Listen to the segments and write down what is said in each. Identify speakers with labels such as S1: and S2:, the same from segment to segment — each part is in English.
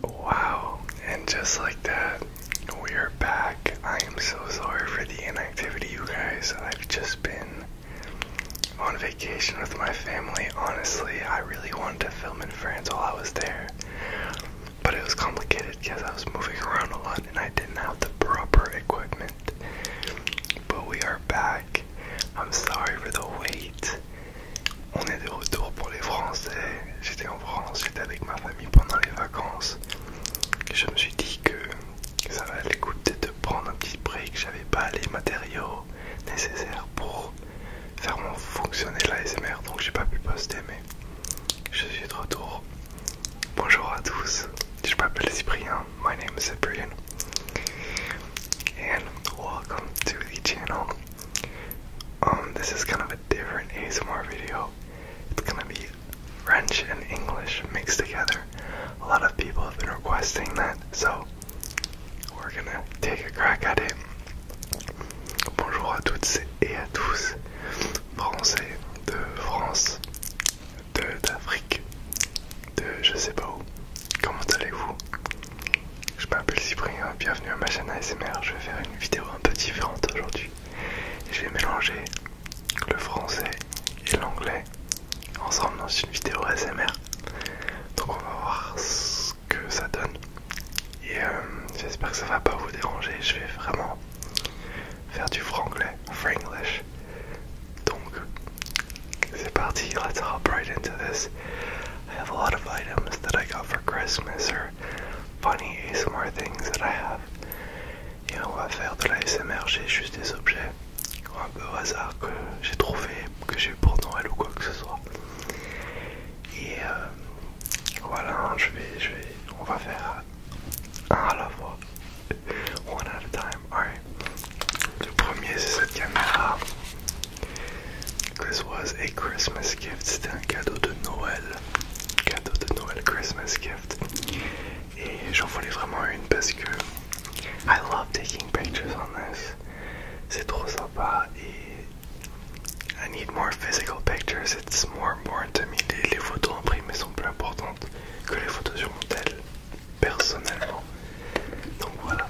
S1: Wow, and just like that, we are back. I am so sorry for the inactivity, you guys. I've just been on vacation with my family. Honestly, I really wanted to film in France while I was there, but it was complicated because I was moving around a lot and I didn't have the proper equipment. But we are back. I'm sorry for the wait. On est de retour pour les Français. J'étais en France, j'étais avec ma famille pendant les vacances. Je me suis dit que ça valait le coup de prendre un petit break. J'avais pas les matériaux nécessaires pour faire mon fonctionner l'ASMR, donc j'ai pas pu poster, mais je suis de retour. Bonjour à tous, je m'appelle Cyprien. My name is Cyprien. And welcome to the channel. Um, this is kind of a different ASMR video. It's gonna be French and English mixed together. A lot of people have been requesting that, so we're gonna take a crack at it. Bonjour à toutes et à tous, Français de France, de d'Afrique, de je sais pas où. Comment allez-vous? Je m'appelle Cyprien, bienvenue à ma chaîne ASMR. Je vais faire une vidéo un peu différente aujourd'hui. Je vais mélanger le français et l'anglais ensemble dans une vidéo ASMR. Donc on va voir ce que ça donne. Et euh, j'espère que ça va pas vous déranger. Je vais vraiment faire du franglais, franglish. Donc c'est parti, let's hop right into this. I have a lot of items that I got for Christmas or funny ASMR things that I have. You know, I faire that I j'ai juste des objets un peu au hasard que j'ai trouvé, que j'ai eu pour Noël ou quoi que ce soit. Et euh, voilà, je vais, je vais, on va faire un à la fois. One at a time, alright. Le premier c'est cette caméra This was a Christmas gift, c'était un cadeau de Noël. Cadeau de Noël, Christmas gift. Et j'en voulais vraiment une parce que I love taking pictures on this. C'est trop sympa et I need more physical pictures. It's more important to me. Les, photos imprimées sont plus importantes que les photos sur mon tel, personnellement. Donc voilà,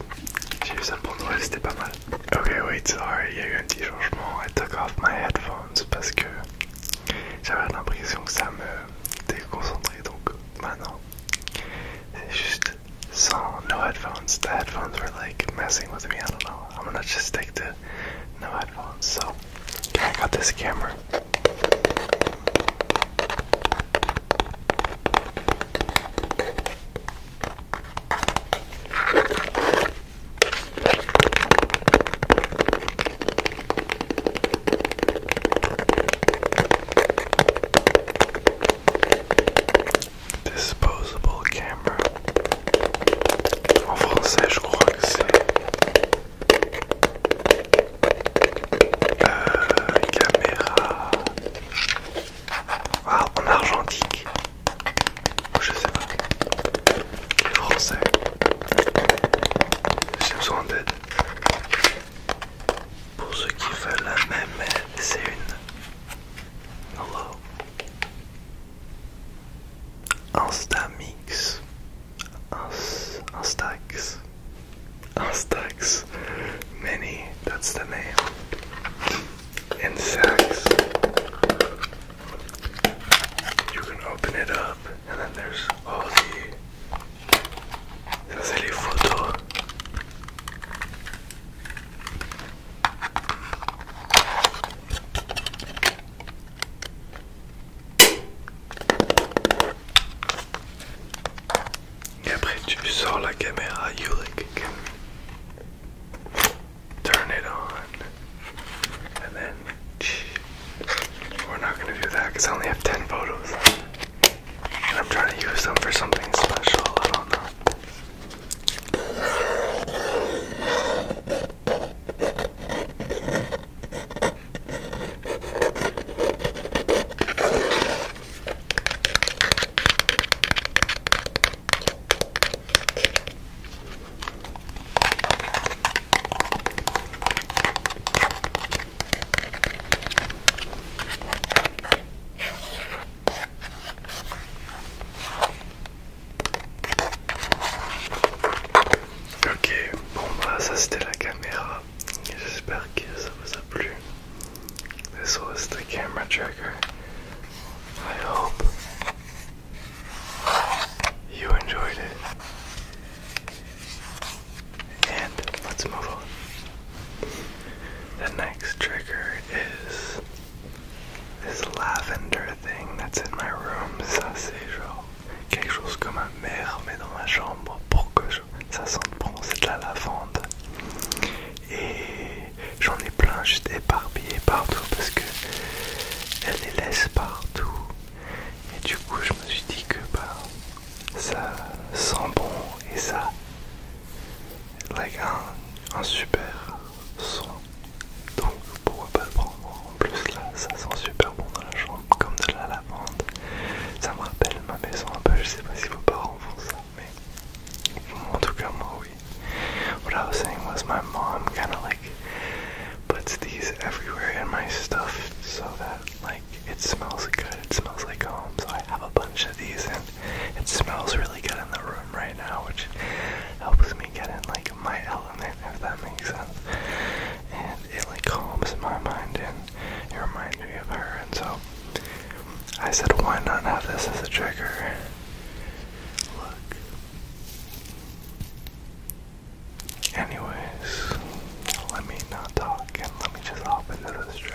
S1: j'ai eu ça pour Noël, c'était pas mal. Ok, wait, sorry, il y a eu un petit I took off my headphones because I had an impression that me was Donc maintenant, c'est juste sans no headphones. The headphones were like messing with me. I don't know. I'm gonna just stick to no headphones. So, I got this camera. Disposable camera. En français, je crois que c'est. caméra. Ah, en argentique. Je sais pas. Les Français. J'ai besoin d'aide. Pour ceux qui veulent la même c'est une. Hello. Instamix. Instax. Instax. Many. That's the name. insects. You can open it up, and then there's all the. There's a photo. Et après tu sors la caméra Yurik turn it on, and then we're not gonna do that because I only have 10 photos, and I'm trying to use them for something special. I don't know. Ok, bon bah ça c'était la caméra. J'espère que ça vous a plu. This was the camera trigger. I hope you enjoyed it. And let's move on. The next trigger is this lavender thing that's in my room. Ça, c'est genre quelque chose comme un merde, mais dans ma chambre pour que ça sente bon, c'est de la lavande. et j'en ai plein juste éparpillé partout parce que elle les laisse partout et du coup je me suis dit que bah, ça sent bon et ça a un, un super son donc pourquoi pas le prendre en plus là ça sent super bon dans la chambre comme de la lavande ça me rappelle ma maison un peu je sais pas si vos parents font ça What I was saying was my mom kind of like puts these everywhere in my stuff so that like it smells good. It smells like home. So I have a bunch of these and it smells really good in the room right now, which helps me get in like my element, if that makes sense. And it like calms my mind and it reminds me of her. And so I said, why not have this as a trigger? Look. Anyways, let me not talk and let me just hop into this trigger.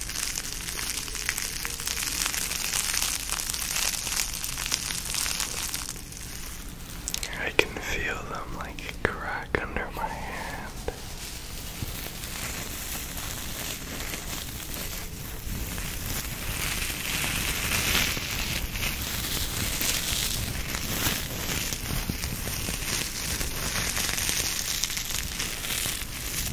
S1: I can feel them like crack under my hand.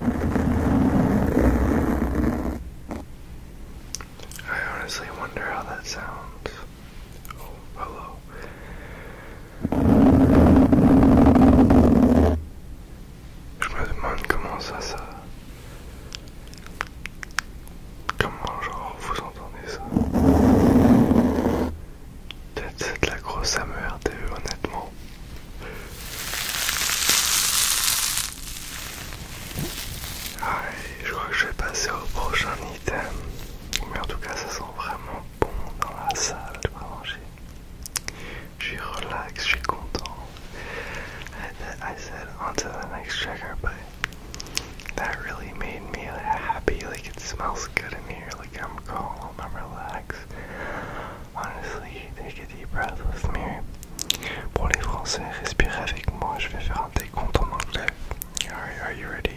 S1: I honestly wonder how that sounds. Oh, hello. Je me demande comment ça, ça. Comment, genre, vous entendez ça? Peut-être c'est de la grosse AME honnêtement. Ah, je crois que je vais passer au prochain item. Mais en tout cas, ça sent vraiment bon dans la salle de Je suis relax, je suis content. I said, on to the next checker, but that really made me happy. Like, it smells good in here. Like, I'm Honestly, take a deep breath with me. Pour les Français, respirez avec moi, je vais faire un décompte en anglais. Alright, are you ready?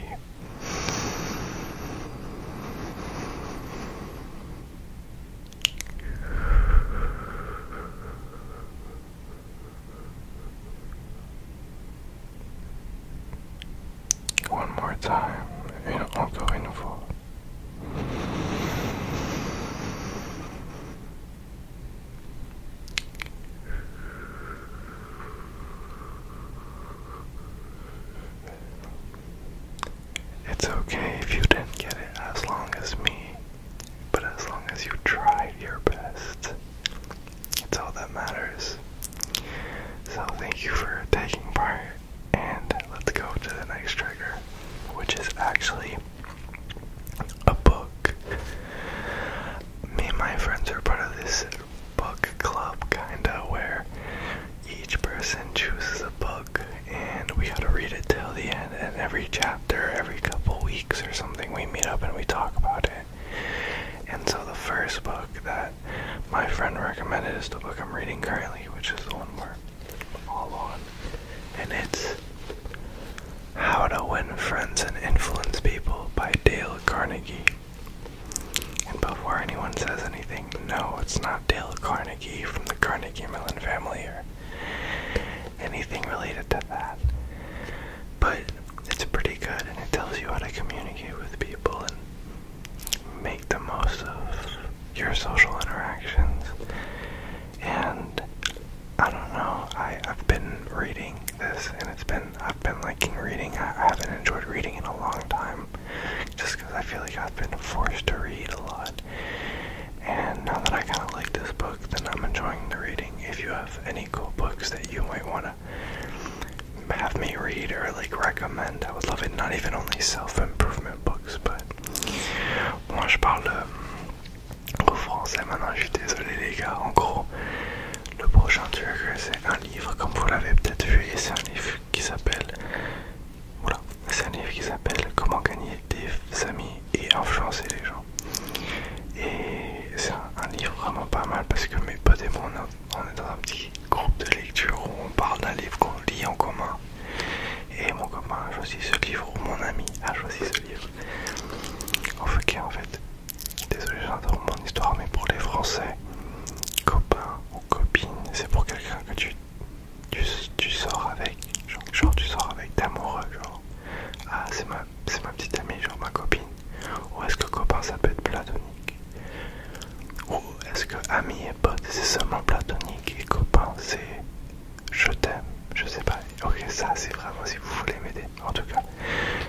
S1: One more time, encore une fois. It's okay if you didn't get it as long as me, but as long as you tried your best, it's all that matters. So, thank you for taking part and let's go to the next trigger, which is actually a book. Me and my friends are part of this book club, kinda, where each person chooses a book and we have to read it till the end. And every chapter, every couple weeks or something, we meet up and we talk about it. And so the first book that my friend recommended is the book I'm reading currently, which is the one where all on. And it's How to Win Friends and Influence People by Dale Carnegie. And before anyone says anything, no, it's not Dale Carnegie from the Carnegie Mellon family or anything related to that. But it's pretty good and it tells you how to communicate with people and make the most of your social interactions. And I don't know, I, I've been reading this and it's been, I've been liking reading. I, I haven't enjoyed reading in a long time just because I feel like I've been forced to read a lot. And now that I kind of like this book, then I'm enjoying the reading. If you have any cool books that you might want to have me read or like recommend, I would love it. Not even only self improvement box Moi je parle euh, au français maintenant, je suis désolé les gars. En gros, le prochain truc c'est un livre, comme vous l'avez peut-être vu, et c'est un livre qui s'appelle. Voilà, c'est un livre qui s'appelle Comment gagner des amis et influencer les gens. Et c'est un, livre vraiment pas mal parce que mes potes et moi on est dans un petit groupe de lecture où on parle d'un livre qu'on lit en commun. Et mon copain a choisi ce livre, ou mon ami a choisi ce livre. en fait. Désolé, j'adore mon histoire, mais pour les Français, copain ou copine, c'est pour quelqu'un que tu, tu, sors avec. Genre, tu sors avec amoureux, genre. Ah, c'est ma, ma petite amie, genre ma copine. Ou est-ce que copain ça peut être platonique ou est-ce que ami et pote c'est seulement platonique et copain c'est je t'aime Je sais pas. Ok, ça c'est vraiment si vous voulez m'aider en tout cas.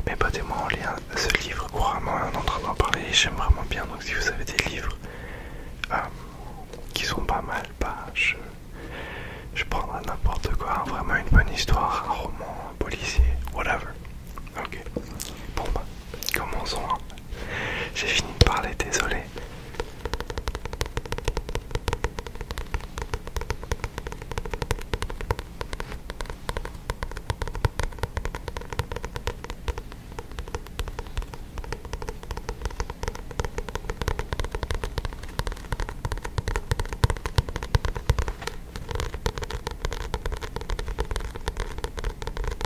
S1: Mes potes et moi on lit ce livre couramment on est en train parler j'aime vraiment bien donc si vous avez des livres euh, qui sont pas mal, pas bah, je. Je prendrai n'importe quoi, vraiment une bonne histoire, un roman, un policier, whatever. Ok. Bon bah, Commençons. Hein. J'ai fini de parler, désolé.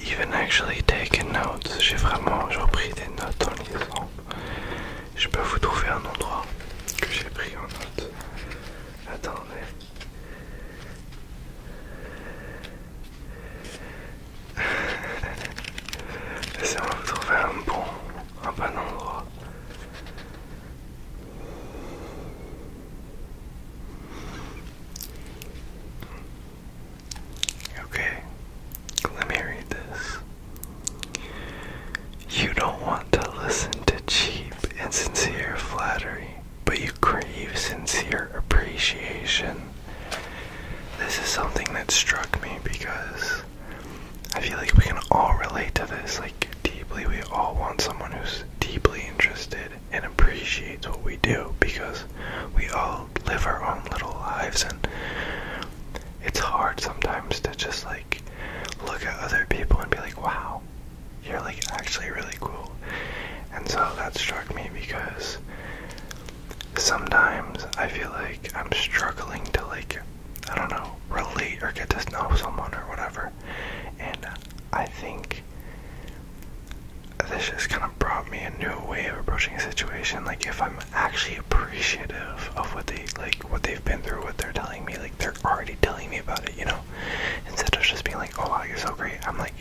S1: even actually notes. J'ai vraiment pris des notes en lisant. Je peux vous trouver un endroit que j'ai pris en note. Attendez. Laissez-moi vous trouver un bon, un bon endroit. Okay, let me read this. You don't want to listen to cheap and sincere flattery, but you crave sincere appreciation. This is something that struck me because I feel like we can all relate to this. Like, deeply, we all want someone who's deeply interested and appreciates what we do because we all live our own little lives and it's hard sometimes to just like look at other people and be like, wow, you're like actually really cool. And so that struck me because sometimes I feel like I'm struggling to like, I don't know, relate or get to know someone or whatever. And I think this just kind of brought me a new way of approaching a situation. Like if I'm actually appreciative of what they like, what they've been through, what they're telling me, like they're already telling me about it, you know. Instead of just being like, "Oh wow, you're so great," I'm like,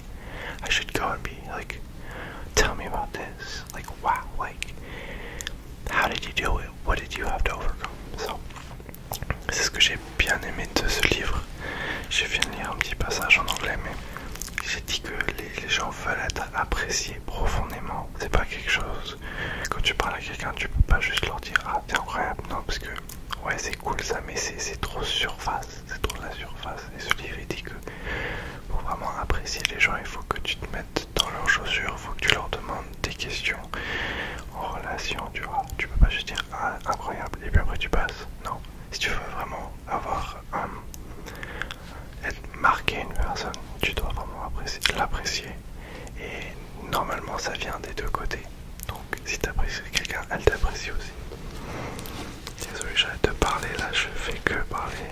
S1: I should go and be like, "Tell me about this." Like wow, like how did you do it? What did you have to overcome? So, c'est ce que j'ai bien aimé de ce livre. J'ai fait lire un petit passage en anglais, mais j'ai dit que les, gens veulent être appréciés profondément. C'est pas quelque chose. Quand tu parles à quelqu'un, tu peux pas juste leur dire Ah, t'es incroyable. Non, parce que ouais, c'est cool ça, mais c'est trop surface. C'est trop la surface. Et ce livre il dit que pour vraiment apprécier les gens, il faut que tu te mettes dans leurs chaussures, il faut que tu leur demandes des questions en relation, tu vois. Tu peux pas juste dire Ah, incroyable, et puis après tu passes. Non. Si tu veux vraiment avoir euh, être marqué une personne, tu dois vraiment l'apprécier. Et normalement, ça vient des deux côtés. Donc, si tu apprécies quelqu'un, elle t'apprécie aussi. Désolé, j'arrête de parler là, je fais que parler.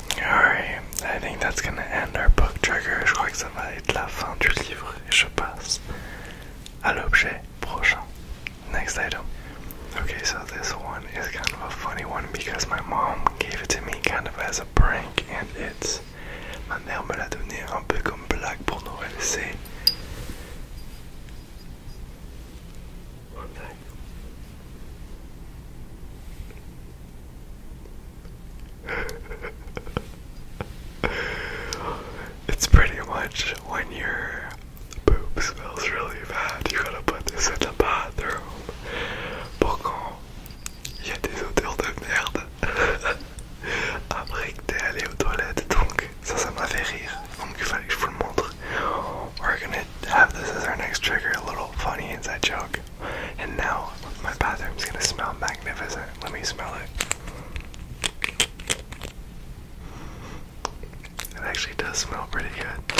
S1: Alright, I think that's gonna end our book trigger. Je crois que ça va être la fin du livre je passe à l'objet prochain. Next item. Okay, so this one is kind of a funny one because my mom gave it to me kind of as a prank and it's. Ma mère me l'a donné un peu comme blague pour Noël. C'est. it's pretty much when your poop smells really bad, you gotta put this in the bathroom. Pour qu'on il y a des odeurs de merde après que t'es allé aux toilettes, donc ça, ça m'a fait rire. Donc il fallait que le montre. We're gonna have this as our next trigger, a little funny inside joke. And now my bathroom's gonna smell magnificent. Let me smell it. It actually does smell pretty good.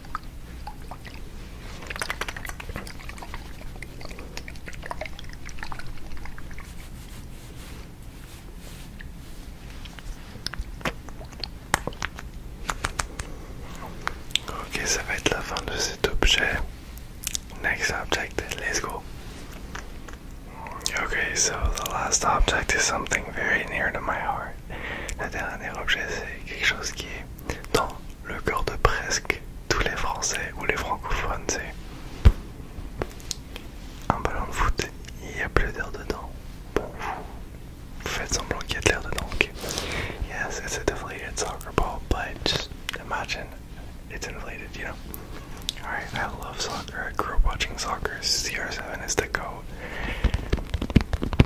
S1: Ok, ça va être la fin de cet objet. Next object, let's go. Okay, so the last object is something very near to my heart. Le dernier objet, c'est quelque chose qui est dans le cœur de presque tous les Français ou les francophones. C'est un ballon de foot, il n'y a plus d'air dedans. Bon, vous faites semblant qu'il y a de l'air dedans. Oui, Yes, it's a deflated soccer ball, but just imagine it's inflated, you know? Alright, I love soccer. I grew up watching soccer. CR7 is the goat.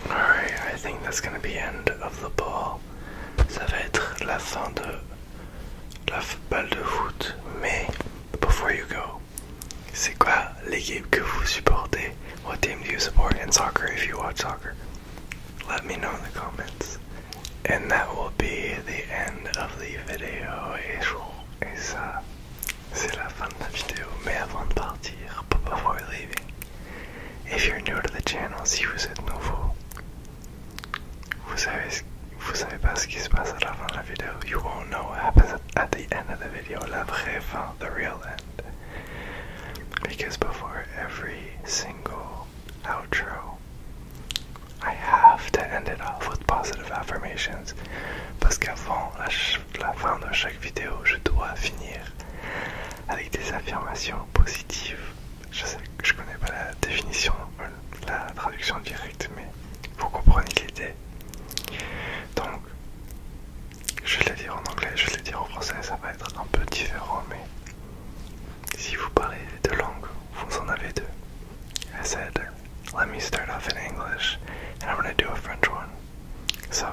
S1: Alright, I think that's gonna be end of the ball before you go, c'est quoi l'équipe que vous supportez? What team do you support in soccer if you watch soccer? Let me know in the comments. And that will be the end of the video. Et ça, c'est la fin de la vidéo. Mais avant de partir, before leaving, if you're new to the channel, si vous êtes nouveau, Vous savez, vous savez pas ce qui se passe à la fin de la vidéo. You won't know what happens at the end of the video. La vraie fin, the real end. Because before every single outro, I have to end it off with positive affirmations. Parce qu'avant la fin de chaque vidéo, je dois finir avec des affirmations positives je sais que je connais pas la définition, la traduction directe, mais vous comprenez l'idée. Donc, je vais le dire en anglais, je vais le dire en français, ça va être un peu différent, mais si vous parlez de langues, vous en avez deux. I said, let me start off in English, and I'm do a French one. So,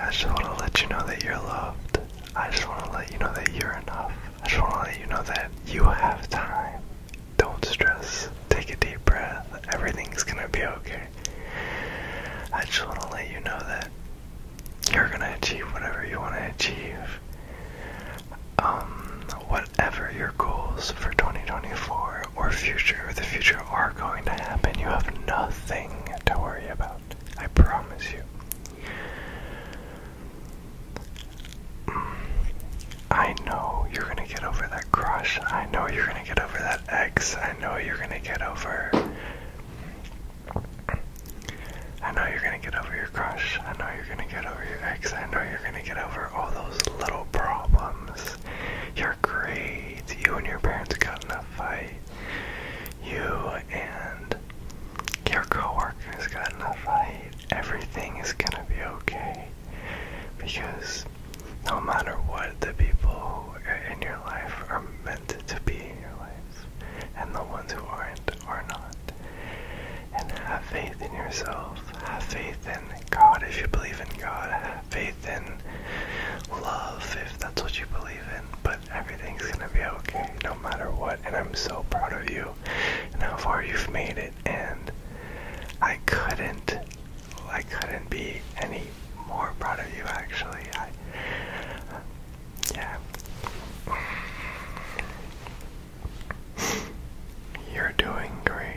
S1: I just want to let you know that you're loved. I just want to let you know that you're enough. I just want to let you know that you have time. Don't stress. Take a deep breath. Everything's going to be okay. I just want to let you know that you're going to achieve whatever you want to achieve. Um, whatever your goals for 2024 or future the future are going to happen, you have nothing to worry about. I promise you. I know you're gonna get over that crush. I know you're gonna get over that ex. I know you're gonna get over. I know you're gonna get over your crush. I know you're gonna get over your ex. I know you're gonna get over all those little problems. You're great. You and your parents got in a fight. You and your coworkers got enough. fight, everything is gonna be okay. Because no matter what, the people in your life are meant to be in your life, and the ones who aren't are not. And have faith in yourself, have faith in God if you believe in God, have faith faith and love if that's what you believe in. But everything's gonna be okay no matter what. And I'm so proud of you and how far you've made it. And I couldn't, I couldn't be any more proud of you actually. I, yeah. You're doing great.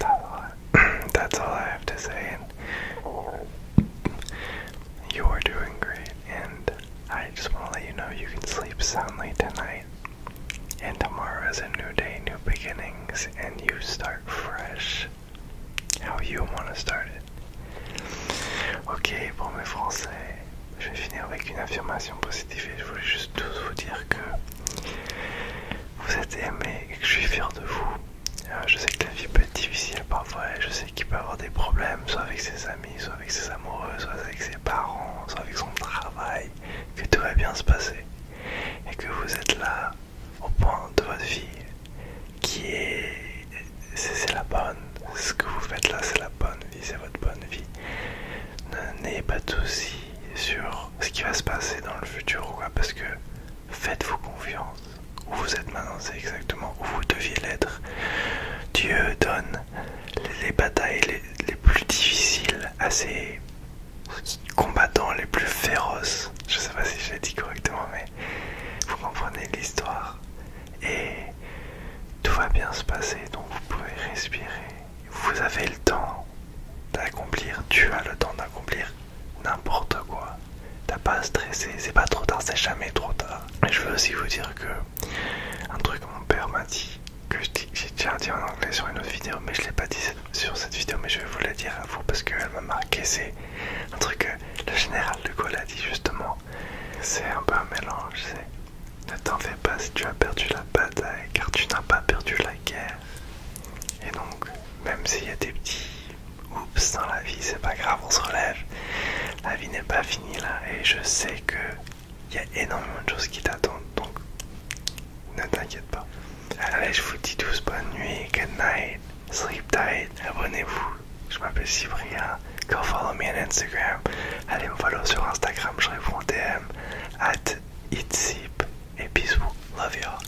S1: That's all I, that's all I have to say. And you are doing great, and I just want to let you know you can sleep soundly tonight. And tomorrow is a new day, new beginnings, and you start fresh. How you want to start it. Ok, pour mes Français, je vais finir avec une affirmation positive je voulais juste tous vous dire que vous êtes aimé et que je suis fier de vous Euh, je sais que la vie peut être difficile parfois je sais qu'il peut avoir des problèmes, soit avec ses amis, soit avec ses amoureux, soit avec ses parents, soit avec son travail, que tout va bien se passer et que vous êtes là au point de votre vie qui est. C'est la bonne, ce que vous faites là, c'est la bonne vie, c'est votre bonne vie. N'ayez pas de soucis sur ce qui va se passer dans le futur ou quoi, parce que Faites-vous confiance. Où vous êtes maintenant, c'est exactement où vous deviez l'être. Dieu donne les batailles les, plus difficiles à ses combattants les plus féroces. Je ne sais pas si je l'ai dit correctement, mais vous comprenez l'histoire. Et tout va bien se passer, donc vous pouvez respirer. Vous avez le temps d'accomplir, tu as le temps d'accomplir n'importe quoi. T'as pas à stresser, c'est pas trop tard, c'est jamais trop tard. Et je veux aussi vous dire que un truc mon père m'a dit, que j'ai déjà dit en anglais sur une autre vidéo, mais je l'ai pas dit sur cette vidéo, mais je vais vous la dire à vous parce qu'elle m'a marqué. C'est un truc que le général de Gaulle a dit justement. C'est un peu un mélange, c'est ne t'en fais pas si tu as perdu la bataille car tu n'as pas perdu la guerre. Et donc, même s'il y a des petits oups dans la vie, c'est pas grave, on se relève. La vie n'est pas finie là et je sais que il y a énormément de choses qui t'attendent donc ne t'inquiète pas. Allez, je vous dis tous bonne nuit, good night, sleep tight, abonnez-vous. Je m'appelle Cyprien, go follow me on Instagram. Allez me follow sur Instagram, je réponds DM at itsip et bisous, love all